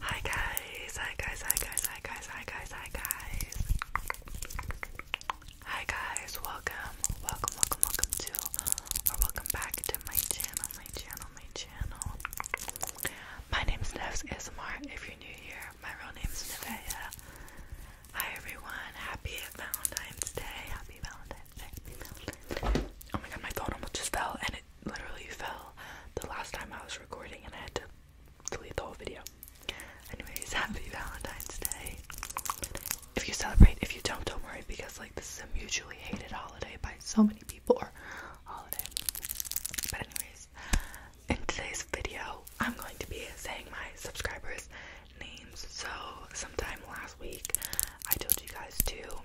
Hi guys, hi guys, hi guys, hi guys, hi guys, hi guys. Hi guys, welcome, welcome, welcome, welcome to or welcome back to my channel, my channel, my channel. My name's Nevs ASMR. If you're new here, my real name name's Nevaeh. Hi everyone, happy Valentine's Day, happy Valentine's Day. Happy Valentine's Oh my god, my phone almost just fell and it literally fell the last time I was recording and I had to delete the whole video. Anyways, happy Valentine's Day. If you celebrate, if you don't, don't worry because like this is a mutually hated holiday by so many people or holiday. But anyways, in today's video I'm going to be saying my subscribers names. So sometime last week I told you guys to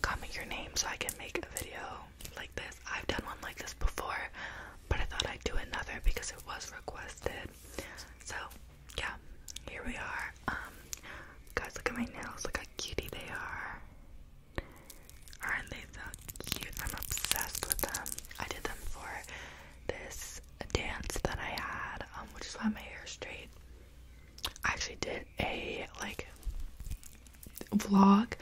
comment your name so I can make a video like this. I've done one like this before, but I thought I'd do another because it was requested. So, yeah, here we are. Um, guys, look at my nails. Look how cutie they are. Aren't they so cute? I'm obsessed with them. I did them for this dance that I had, um, which is why my hair is straight. I actually did a like vlog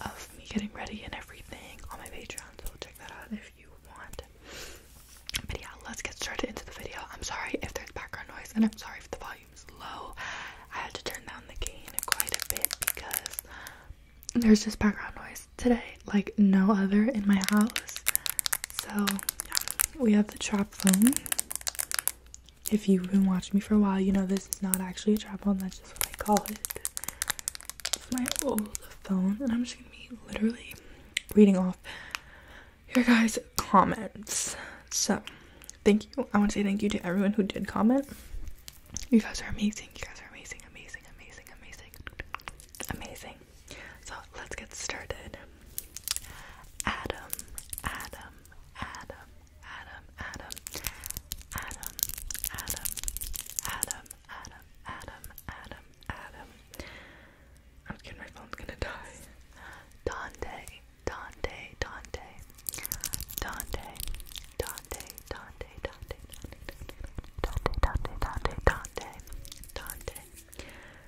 of me getting ready and everything on my Patreon, so check that out if you want. But yeah, let's get started into the video. I'm sorry if there's background noise, and I'm sorry if the volume is low. I had to turn down the gain quite a bit because there's just background noise today, like no other in my house. So yeah, we have the chop phone if you've been watching me for a while, you know this is not actually a tripod, that's just what I call it. It's my old phone, and I'm just gonna be literally reading off your guys' comments. So, thank you. I want to say thank you to everyone who did comment. You guys are amazing. You guys are amazing, amazing, amazing, amazing, amazing. So, let's get started. Adam, Adam, Adam, Adam, Adam, Adam, Adam, Adam, Adam, Adam, Adam, Adam. I'm scared my phone's gonna die. Dante, Dante, Dante, Dante, Dante, Dante, Dante, Dante, Dante, Dante, Dante, Dante, Dante, Dante, Dante,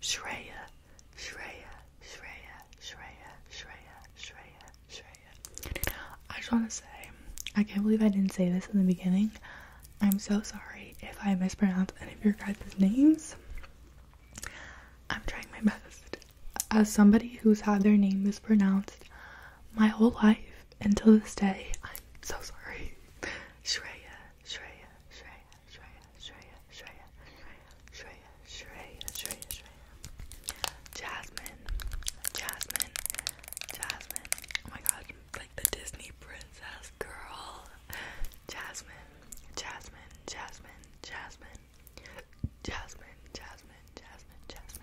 Shreya, Shreya, Shreya, Shreya, Shreya, Shreya, Shreya. I just want to say, I can't believe I didn't say this in the beginning. I'm so sorry if I mispronounced any of your guys' names. I'm trying my best. As somebody who's had their name mispronounced my whole life until this day. I'm so sorry. Shreya, Shreya, Shreya, Shreya, Shreya, Shreya, Shreya, Shreya, Shreya, Shreya. Jasmine, Jasmine, Jasmine. Oh my god, like the Disney princess girl. Jasmine, Jasmine, Jasmine, Jasmine. Jasmine, Jasmine, Jasmine, Jasmine.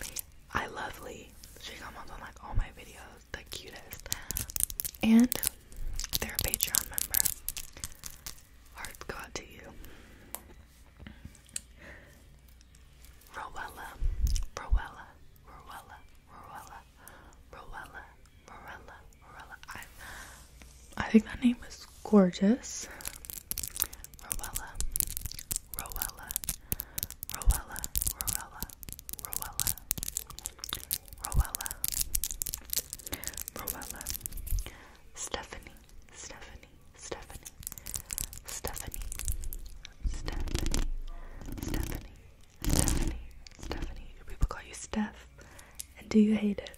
Lee. I love Lee. She comes on like all my videos, the cutest. And they're a Patreon member. Heart Hearts got to you. Rowella, Rowella, Rowella, Rowella, Rowella, Rowella, Rowella. I, I think that name is gorgeous. Rowella, Rowella, Rowella, Rowella, Rowella, Rowella, Rowella, Stephanie, Stephanie, Stephanie, Stephanie, Stephanie, Stephanie, Stephanie, people call you Steph? And do you hate it?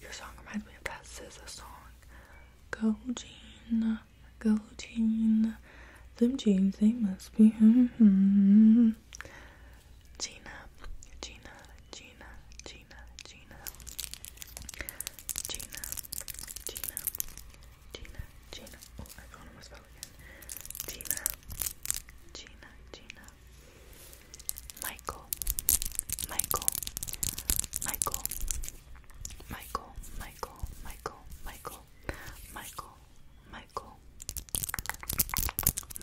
Your song reminds me of that SZA song. Go Gina, go Gina. them jeans they must be. Gina, Gina, Gina, Gina, Gina, Gina, Gina, Gina, Gina, oh, Michael, Michael, Michael, Michael, Michael, Michael, Michael, Michael, Michael, Michael,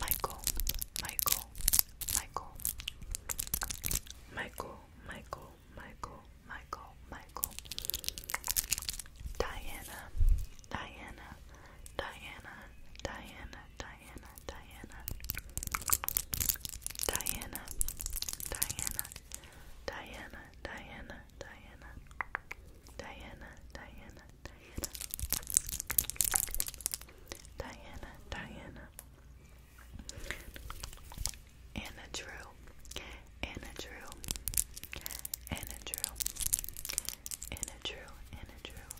Michael, Michael, Michael, Michael, Michael, Michael, Michael, Diana, Diana, Diana, Diana, Diana. Diana, Diana, Diana, Diana, Diana, Diana, Diana, Diana, Diana, Diana, Diana, Diana, Anna Drew, Anna Drew, Anna Drew, Anna Drew, Anna Drew,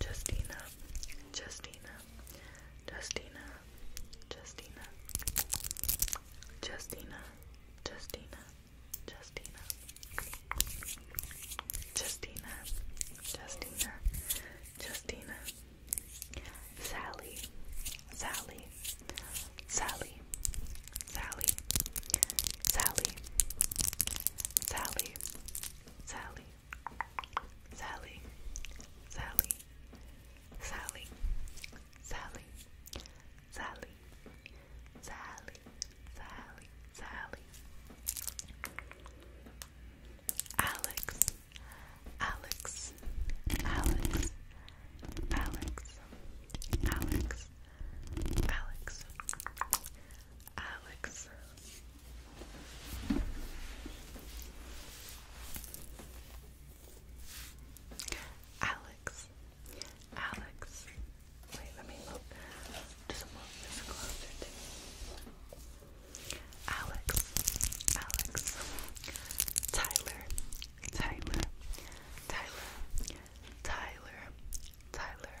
Justina, Justina, Justina, Justina, Justina, Justina, Justina, Justina, Justina, Justina, Sally, Sally, Sally, Sally, Sally, Sally, Sally, Sally, Sally, Sally, Sally, Sally, Sally, Sally, Sally. Alex, Alex, Alex, Alex, Alex, Alex, Alex, Alex. Alex. Alex. Wait, let me move. Just move closer to me. Alex. Alex. Tyler. Tyler. Tyler. Tyler. Tyler.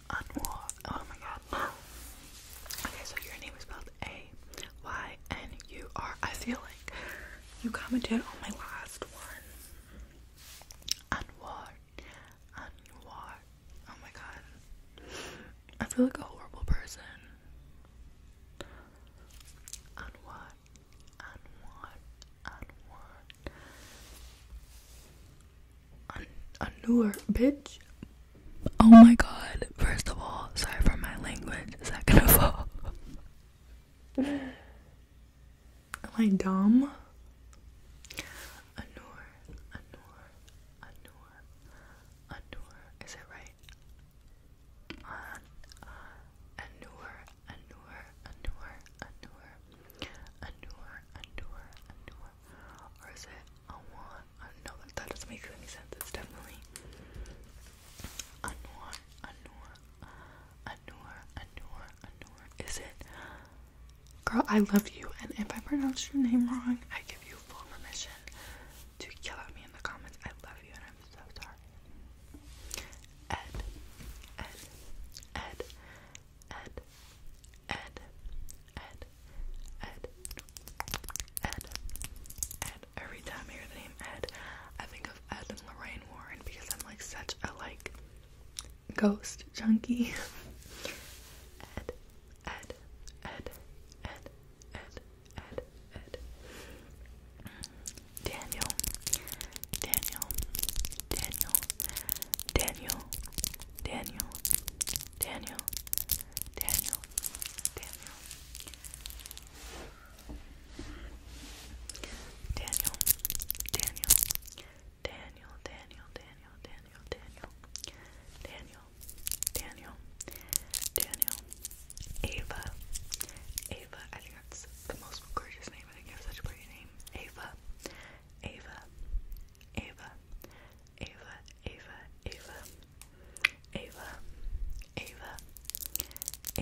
Anwar. Oh my god. Okay, so your name is spelled A Y N U R. I feel like you commented on my last one. Anwar. Anwar. Oh my god. I feel like a horrible person. Anwar. Anwar. Anwar. An Anur, bitch. Oh my god. First of all, sorry for my language. Second of all, am I dumb? Anur, Anur, Anur, Anur. Is it right? Anur, Anur, Anur, Anur, Anur, Anur, Anur. Or is it unwind. Uh, no, that, that doesn't make any sense. It's definitely Anwar, Anwar, Anwar, Anwar, Anwar. Is it? Girl, I love you, and if I pronounce your name wrong, I give you full permission to kill at me in the comments. I love you, and I'm so sorry. Ed, Ed, Ed, Ed, Ed, Ed, Ed, Ed, Ed. Every time I hear the name Ed, I think of Ed Lorraine Warren because I'm like such a like ghost junkie. Ed, Ed, Ed, Ed, Ed, Ed, Ed. Daniel, Daniel, Daniel, Daniel, Daniel, Daniel, Daniel, Daniel, Daniel, Daniel, Daniel, Daniel, Daniel, Daniel, Daniel, Daniel, Daniel, Daniel, Ava, Ava. I think that's the most gorgeous name. I think you have such a pretty name, Ava. Ava, Ava, Ava, Ava, Ava, Ava, Ava, Ava,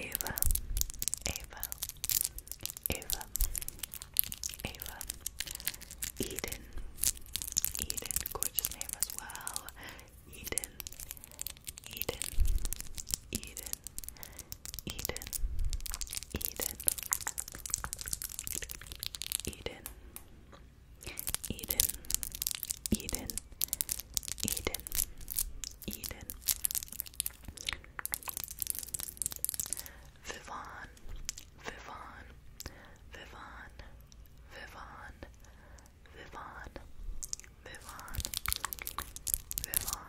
Ava, Ava, Ava, Eden, Eden, gorgeous name as well, Eden, Eden, Eden, Eden, Eden Eden Eden Eden Eden Eden Vivan Vivan Vivan Vivan Vivan Vivan Vivan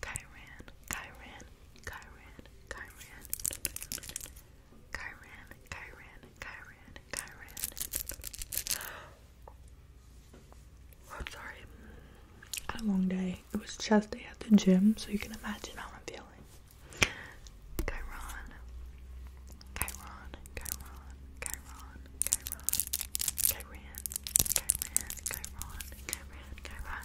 Kyran, Kyran, Kyran, Kyran, Kyran, Kyran, Kyran, Kyran. I'm sorry. had a long day. It was chest day at the gym, so you can imagine how I'm feeling. Kyron, Kyron, Kyron, Kyron, Kyron, Kyran, Kyran, Kyron, Kyran, Kyran,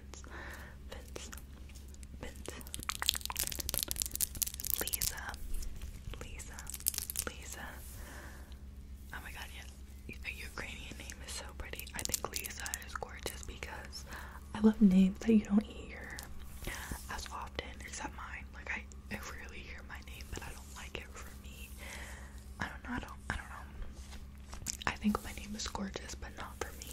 Vince, Vince, Vince, Lisa, Lisa, Lisa. Oh my god, yeah, a Ukrainian name is so pretty. I think Lisa is gorgeous because I love names that you don't hear as often, except mine. Like I, I rarely hear my name, but I don't like it for me. I don't know. I don't. I don't know. I think my name is gorgeous, but not for me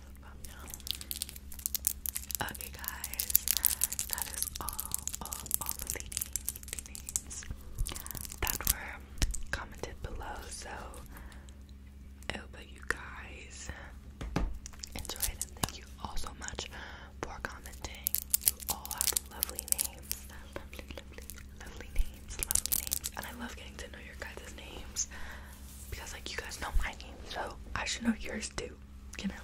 Okay, guys, that is all, all, all the names that were commented below. So, I hope you guys enjoyed and thank you all so much for commenting. You all have lovely names, lovely, lovely, lovely names, lovely names, and I love getting to know your guys' names because, like, you guys know my name, so I should know yours too you know.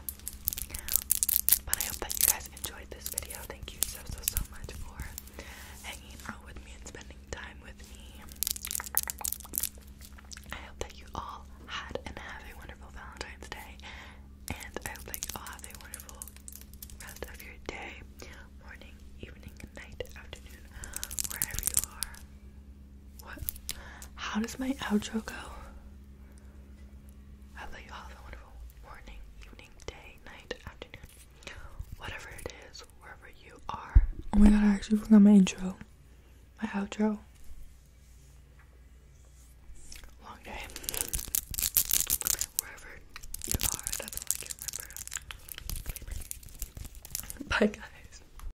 But I hope that you guys enjoyed this video. Thank you so so so much for hanging out with me and spending time with me. I hope that you all had and have a wonderful Valentine's Day. And I hope that you all have a wonderful rest of your day, morning, evening, night, afternoon, wherever you are. What? How does my outro go? I let you all have a wonderful morning, evening, day, night, afternoon, whatever it is, wherever you are. Oh my god, I actually forgot my intro. My outro. Long day. Wherever you are, that's all I can remember. Bye guys.